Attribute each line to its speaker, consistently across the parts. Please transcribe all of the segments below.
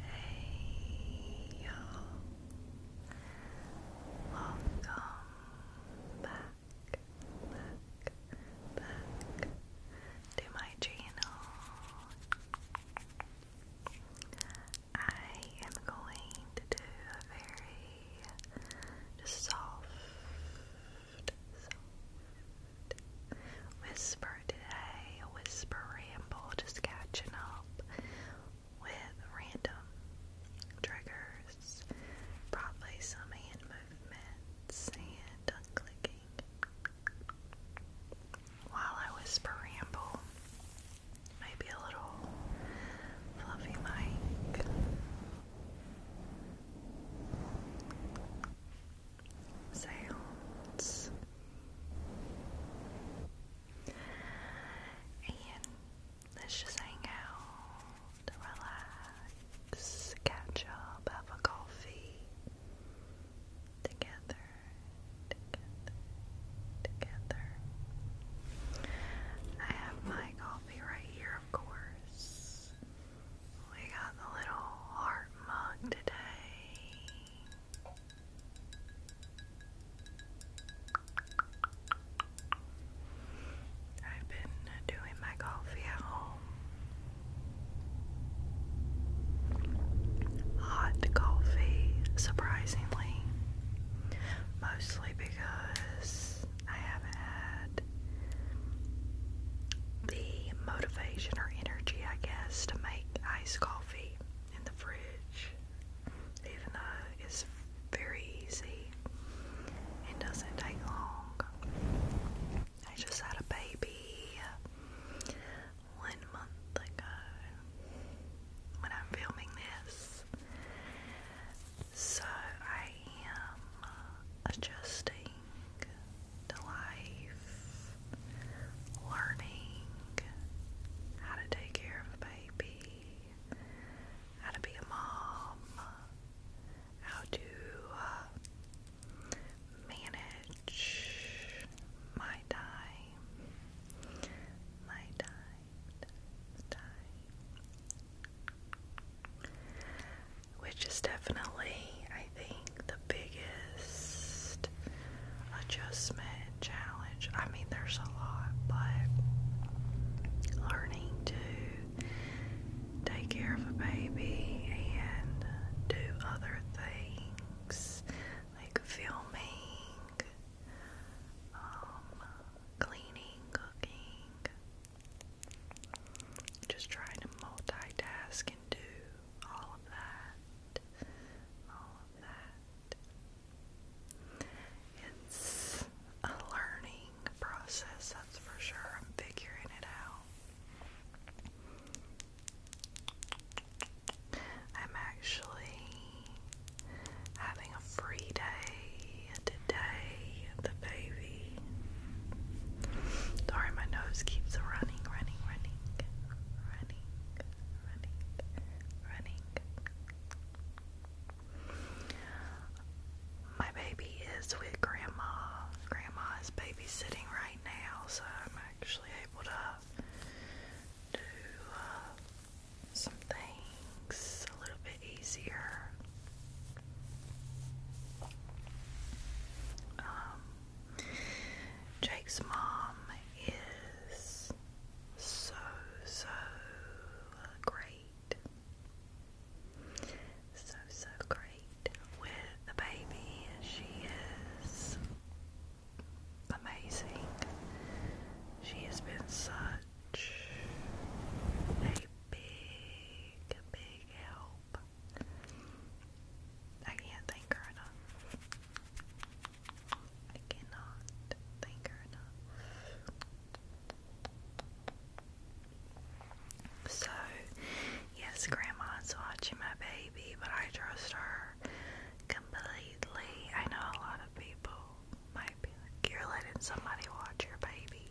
Speaker 1: Hey y'all. Welcome back, back, back to my channel. I am going to do a very soft Whisper today, whisper ramble, just catching up with random triggers, probably some hand movements and tongue clicking. While I whisper ramble, maybe a little fluffy mic sounds and let's just hang out, relax, catch up, have a coffee together, together, together. I have my coffee right here, of course. We got the little heart mug today. I've been doing my coffee at home. Hot coffee, surprisingly. Mostly because I haven't had the motivation or energy, I guess, to make iced coffee in the fridge, even though it's very easy It doesn't take long. I just had a baby one month ago when I'm filming this. So I am adjusting to life, learning how to take care of a baby, how to be a mom, how to uh, manage my time, my time, time which is definitely, I think, the biggest adjustment challenge. I mean, there's a lot, but learning to take care of a baby and do other things like filming, um, cleaning, cooking. Just trying to multitask and do all of that. All of that. It's a learning process, that's for sure. I'm figuring it out. I'm actually having a free day today, the baby. Sorry, my nose keeps running, running, running, running, running, running. My baby is with Grandma. Grandma is babysitting right now, so I'm actually able to do uh, some things a little bit easier. Um, Jake's mom is so, so great. So, so great with the baby. and She is amazing. She has been such a big, big help I can't thank her enough. I cannot thank her enough. So, yes, Grandma's watching my baby, but I trust her completely. I know a lot of people might be like, You're letting somebody watch your baby.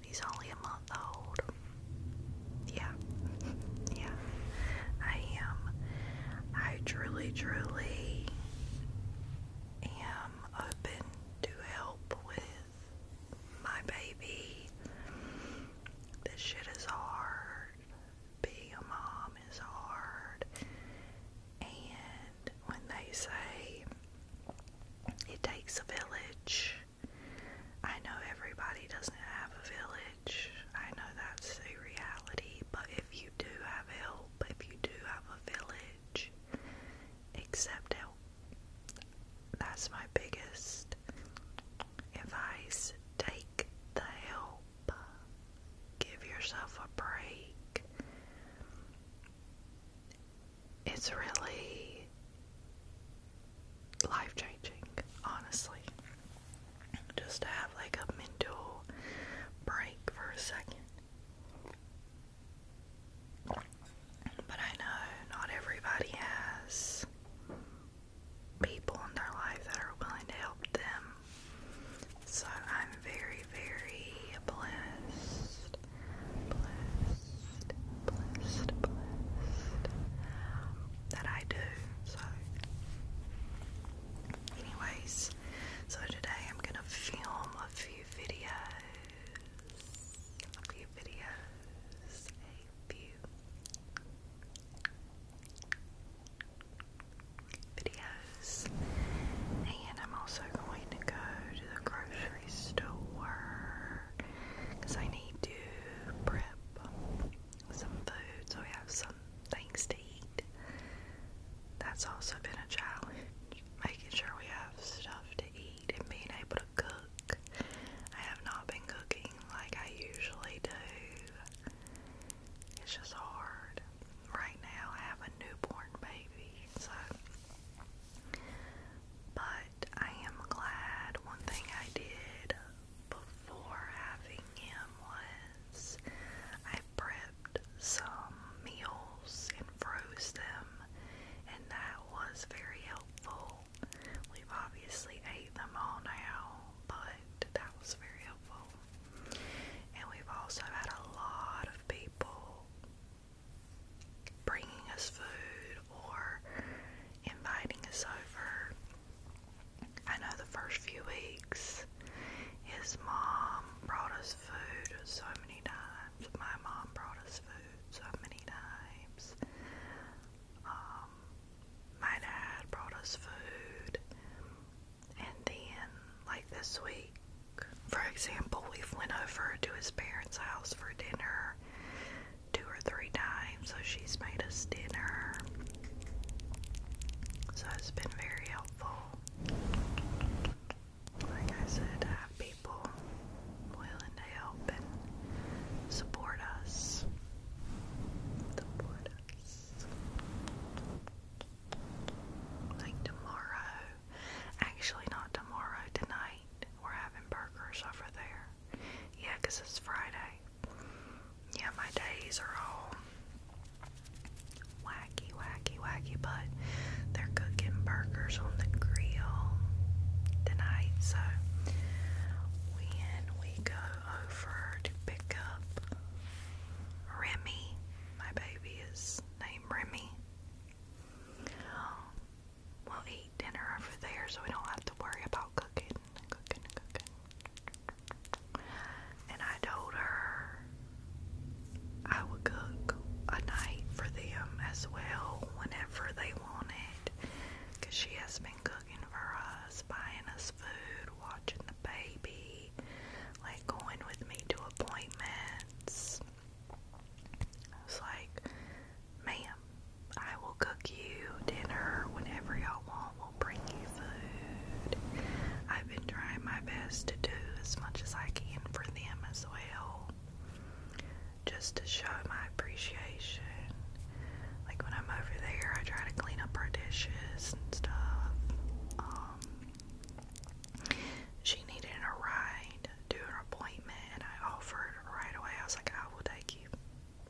Speaker 1: He's only a month old. Yeah. yeah. I am. I truly, truly am open to help with my baby. This shit is hard. Being a mom is hard. And when they say it takes a village, I know everybody doesn't have a village. I know that's a reality, but if you do have help, if you do have a village, accept help. That's my biggest advice. Take the help. Give yourself a break it's really life changing, honestly. Just to have like a mental break for a second. But I know not everybody has people in their life that are willing to help them. So I'm very, very blessed blessed, blessed, blessed that I do. So, anyways, so today I'm gonna film a few videos, a few videos, a few videos, and I'm also going to go to the grocery store because I need to prep some food so we have some things to eat. That's also been a challenge, making sure we have stuff to eat and being able to cook. I have not been cooking like I usually do. It's just hard. Right now I have a newborn baby, so but I am glad one thing I did before having him was I prepped some meals and froze them, and that was very helpful. We've obviously ate them all now, but that was very helpful. And we've also had a lot of people bringing us food or inviting us over. I know the first few weeks, his mom brought us food so many times. My mom brought us food so many times. Um, my dad brought us food. And then, like this week, for example, we went over to his parents' house for dinner two or three times, so she's made us dinner. So it's been very helpful. Like I said, have people willing to help and support us. Support us. Like tomorrow, actually, not tomorrow, tonight, we're having burgers over there. Yeah, because it's Friday. Yeah, my days are all wacky, wacky, wacky, but they're cooking burgers on the grill tonight, so when we go over to pick up Remy, my baby is named Remy. We'll eat dinner over there so we don't have to worry about cooking cooking cooking. And I told her I would cook a night for them as well whenever they wanted, Because she has been cooking for us, buying us food, watching the baby, like going with me to appointments. I was like, ma'am, I will cook you dinner whenever y'all want. We'll bring you food. I've been trying my best to do as much as I can for them as well. Just to show my appreciation. Like when I'm over there, I try to clean up her dishes and stuff. Um, she needed a ride to an appointment, and I offered right away. I was like, I will take you.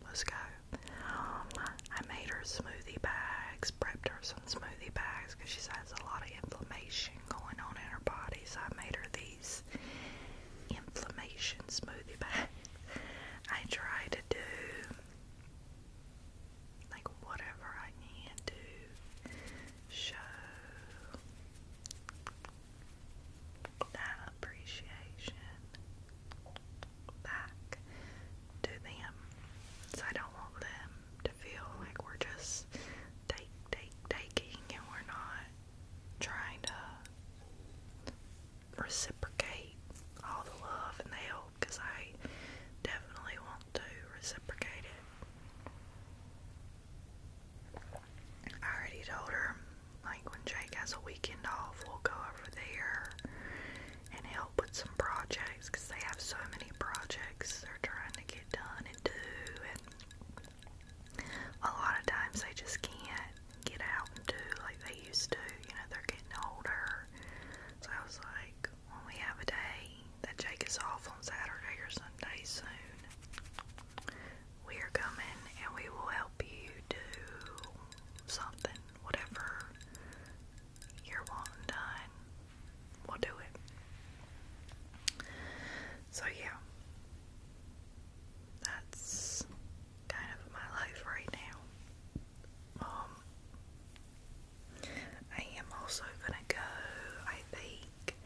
Speaker 1: Let's go. Um, I made her smoothie bags, prepped her some smoothie bags because she has a lot of inflammation going on in her body. So I made her these inflammation smoothie bags. I try to do like whatever I can do. Show that appreciation back to them. So I don't want them to feel like we're just taking and we're not trying to reciprocate all the love and help because I definitely want to reciprocate it. I already told her like when Jake has a weekend off, we'll go over there and help with some projects because they have so many projects they're trying to get done and do. And a lot of times they just can't get out and do like they used to. You know, they're getting older. So I was like, when we have a day that Jake is off on Saturday or Sunday soon, we're coming and we will help you do something, whatever you're wanting done, we'll do it. So, yeah, that's kind of my life right now. Um, I am also gonna go, I think,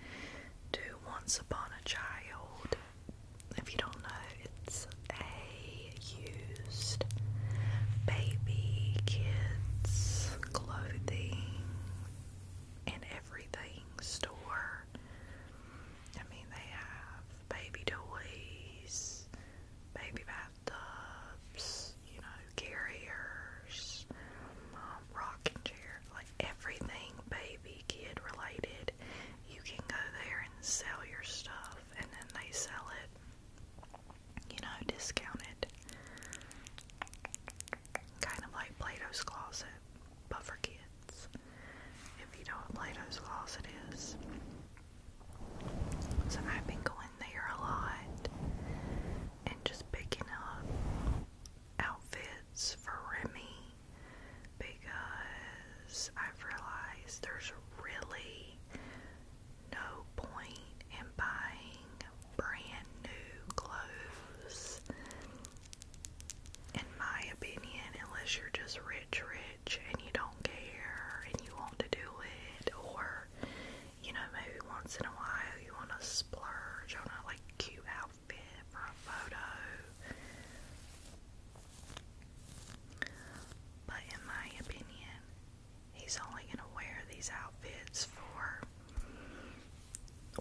Speaker 1: to Once Upon a Child if you don't know, it's a used baby, kids, clothing, and everything store. I mean, they have baby toys, baby bathtubs, you know, carriers, um, rocking chair, like everything baby kid related side, you can go there and sell your stuff, and then they sell it, you know, discounted. Kind of like Plato's Closet, but for kids. If you know what Plato's Closet is. So I've been going there a lot and just picking up outfits for Remy because I've realized there's really no point in buying brand new clothes, in my opinion, unless you're just rich, rich, and you don't care and you want to do it, or you know, maybe once in a while you want to splurge on a like cute outfit for a photo. But in my opinion, he's only going to wear these outfits for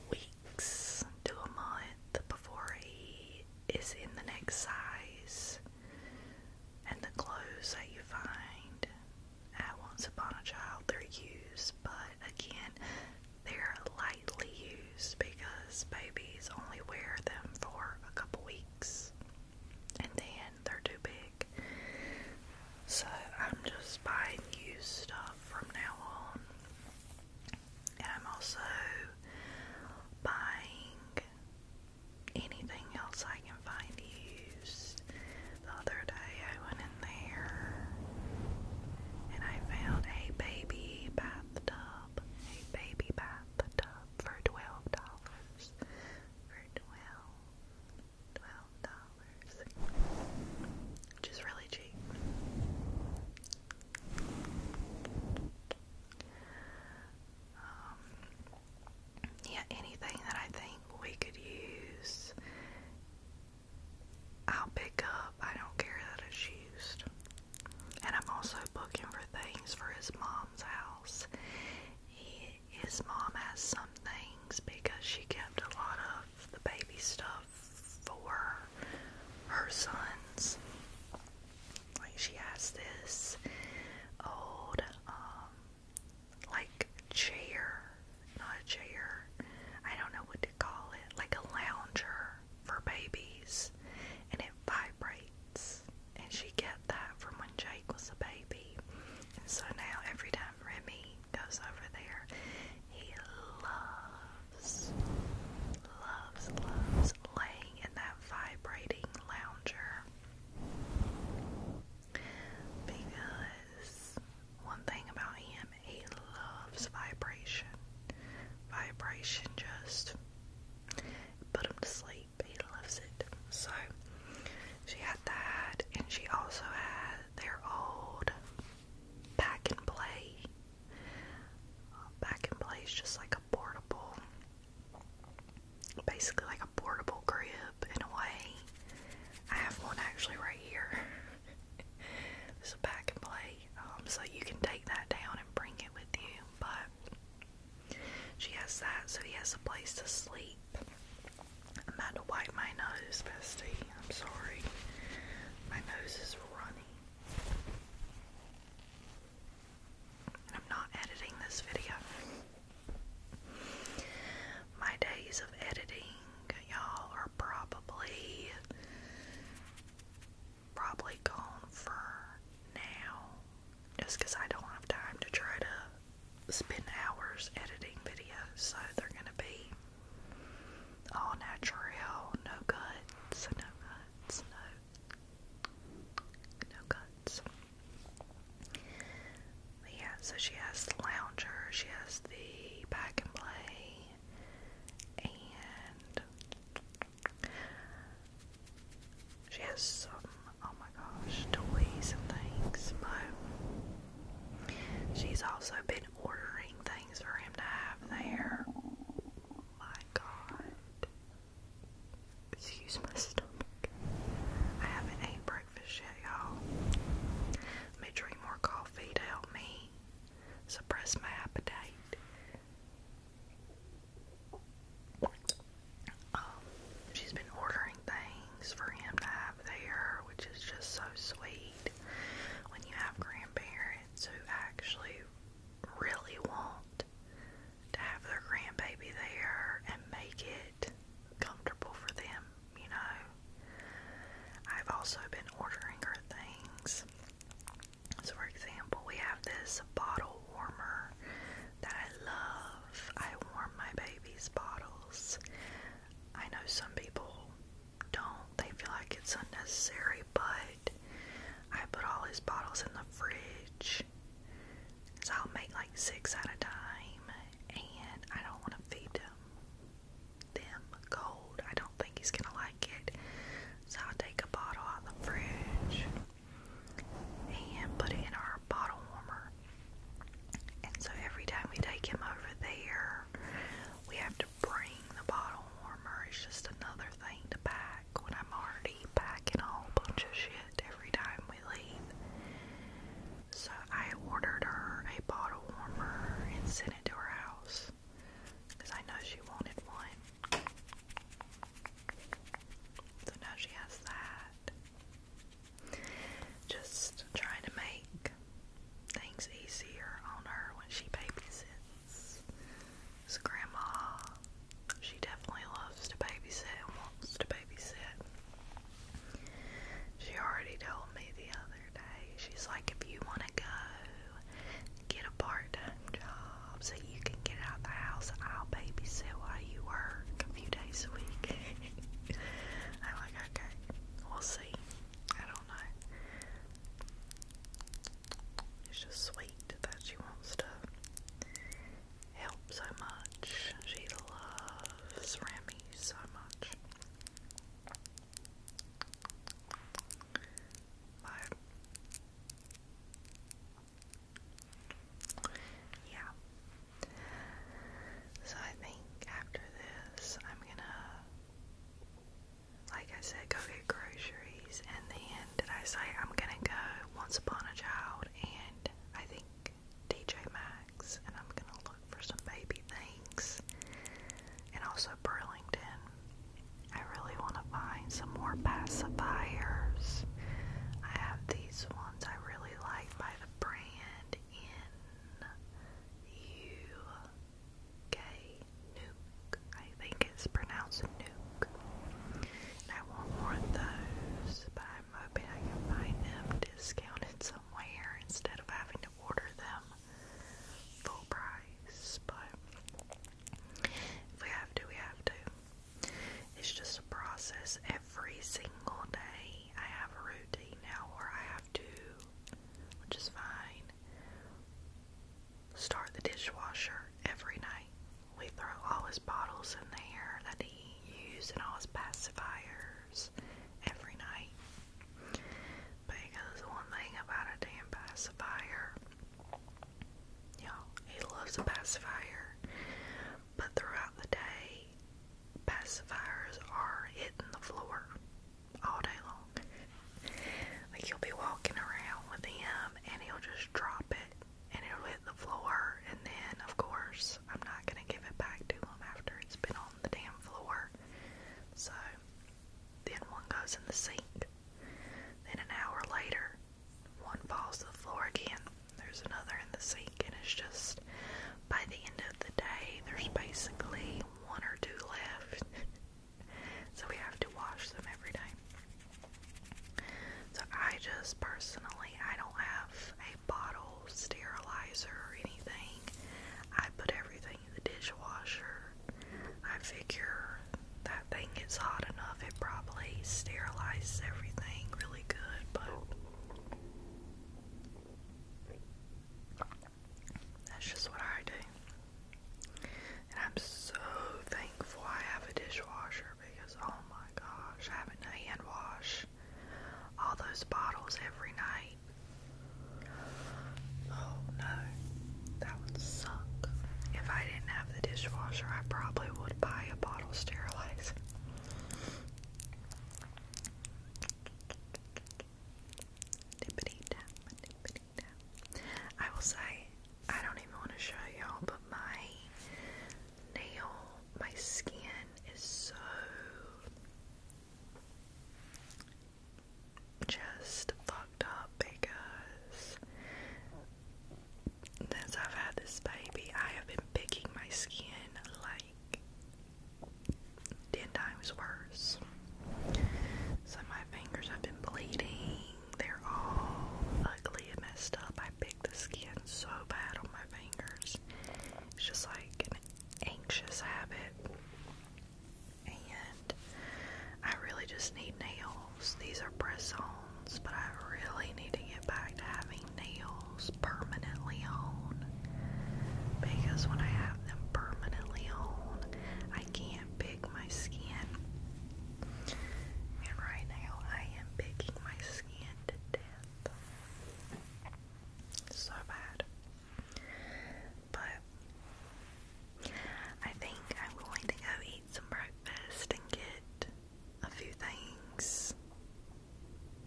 Speaker 1: weeks to a month before he is in the next size. And the clothes that you find at Once Upon a Child, they're used, but again, they're lightly used because babies only wear them for a couple weeks and then they're too big. So I'm just buying used stuff from now on, and I'm also buying anything else I can find used. The other day I went in there and I found a baby bathtub, a baby bathtub for twelve dollars. For twelve, twelve dollars, which is really cheap. Um, yeah, anything that I think we could use, I'll pick up. I don't care that it's used. And I'm also looking for things for his mom's house. his mom has some things because she kept a lot of the baby stuff for her sons. Like she has this old, um, like chair, not a chair. I don't know what to call it, like a lounger for babies, and it vibrates and she got that from when Jake was a baby. And so now every time Remy goes over there, he loves, loves, loves laying in that vibrating lounger. Because one thing about him, he loves vibration. Vibration just put him to sleep. He loves it. So she had that, and she also had their old pack and play. pack and play just like a portable, basically like a portable crib in a way. I have one actually right here. It's a pack and play, um, so you can take that down and bring it with you. But she has that, so he has a place to sleep. I'm about to wipe my nose, bestie. I'm sorry. My nose is runny. I'm not editing this video. My days of editing, y'all, are probably probably gone for now just because I don't have time to try to spend hours editing videos, so they're gonna be all natural, no cuts, no cuts, no, cuts. yeah, so she has the lounger, she has the pack and play, and she has some, oh my gosh, toys and things, but she's also been ordering things for him to have there. My god. Excuse my stomach. I haven't ate breakfast yet, y'all. Let me drink more coffee to help me suppress my appetite. Um, she's been ordering things for him to have there, which is just so sweet when you have grandparents who actually really want to have their grandbaby there and make it comfortable for them, you know. I've also been ordering her things. So, for example, we have this bottle warmer that I love. I warm my baby's bottles. I know some people don't, they feel like it's unnecessary, but I put all his bottles in the fridge. So I'll make like six at a time, and I don't want to feed them them cold. I don't think he's gonna like it. So I'll take a bottle out the fridge, and put it in our bottle warmer. And so every time we take him over there, we have to bring the bottle warmer. It's just another thing to pack when I'm already packing a whole bunch of shit every time we leave. So I ordered her a bottle warmer and sent it to her house because I know she wanted one. So now she has that. Just trying to make things easier on her when she babysits. So grandma, she definitely loves to babysit and wants to babysit. She already told me the other day. She's like, if you want to go get a part-time job so you can get out of the house. I'll babysit while you work a few days a week. I'm like, okay, we'll see. I don't know. It's just sweet that she wants to help so much. She loves Remy so much. But yeah. So I think after this, I'm gonna, like I said, go get groceries, and then did I say I'm gonna go Once Upon a Child, and I think DJ Maxx, and I'm gonna look for some baby things, and also Burlington. I really want to find some more pacifiers. I have these ones I really like by the brand in UK Nuke. I think it's pronounced Nuke. And I want more of those, but I'm hoping I can find them discounted somewhere instead of having to order them full price. But if we have to, we have to. It's just a process every single day. I have a routine now where I have to, which is fine, start the dishwasher every night. We throw all his bottles in there that he used and all his pacifiers every night. Because one thing about a damn pacifier, you know, he loves a pacifier but throughout the day, pacifiers are hitting the floor all day long. Like you'll be walking around with him and he'll just drop it and it'll hit the floor and then of course I'm not gonna give it back to him after it's been on the damn floor. So then one goes in the sink. Then an hour later one falls to the floor again. There's another in the sink, and it's just by the end of the day, there's basically one or two left. so we have to wash them every day. So I just personally, I don't have a bottle sterilizer or anything. I put everything in the dishwasher. I figure that thing gets hot enough, it probably sterilizes everything really good, but that's just what I do. And I'm so thankful I have a dishwasher because oh my gosh, having to hand wash all those bottles every night. Oh no, that would suck. If I didn't have the dishwasher, I probably would buy a bottle sterilizer. I will say, I don't even want to show y'all, but my nail, my skin is so just fucked up because since I've had this baby, I have been picking my skin like ten times worse. So my fingers have been bleeding. They're all ugly and messed up. I picked the skin so bad on my fingers. It's just like an anxious habit. And I really just need nails. These are press on but I really need to get back to having nails permanently on. Because when I have them permanently on, I can't pick my skin. And right now, I am picking my skin to death. So bad. But I think I'm going to go eat some breakfast and get a few things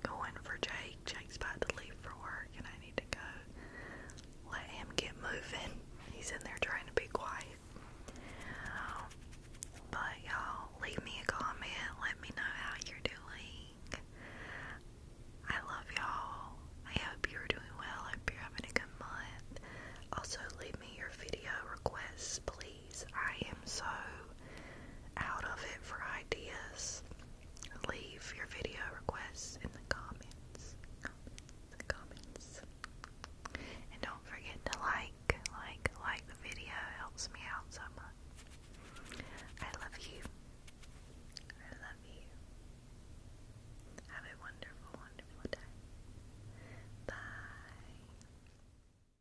Speaker 1: going for Jake. Jake's about to leave for work and I need to go let him get moving. He's in there trying to be quiet. but y'all, leave me a comment. Let me know how you're doing. I love y'all. I hope you're doing well. I hope you're having a good month. Also, leave me your video requests, please. I am so out of it for ideas. Leave your video requests in the comments. And don't forget to like, like, like the video. helps me out so much. I love you. I love you. Have a wonderful, wonderful day. Bye.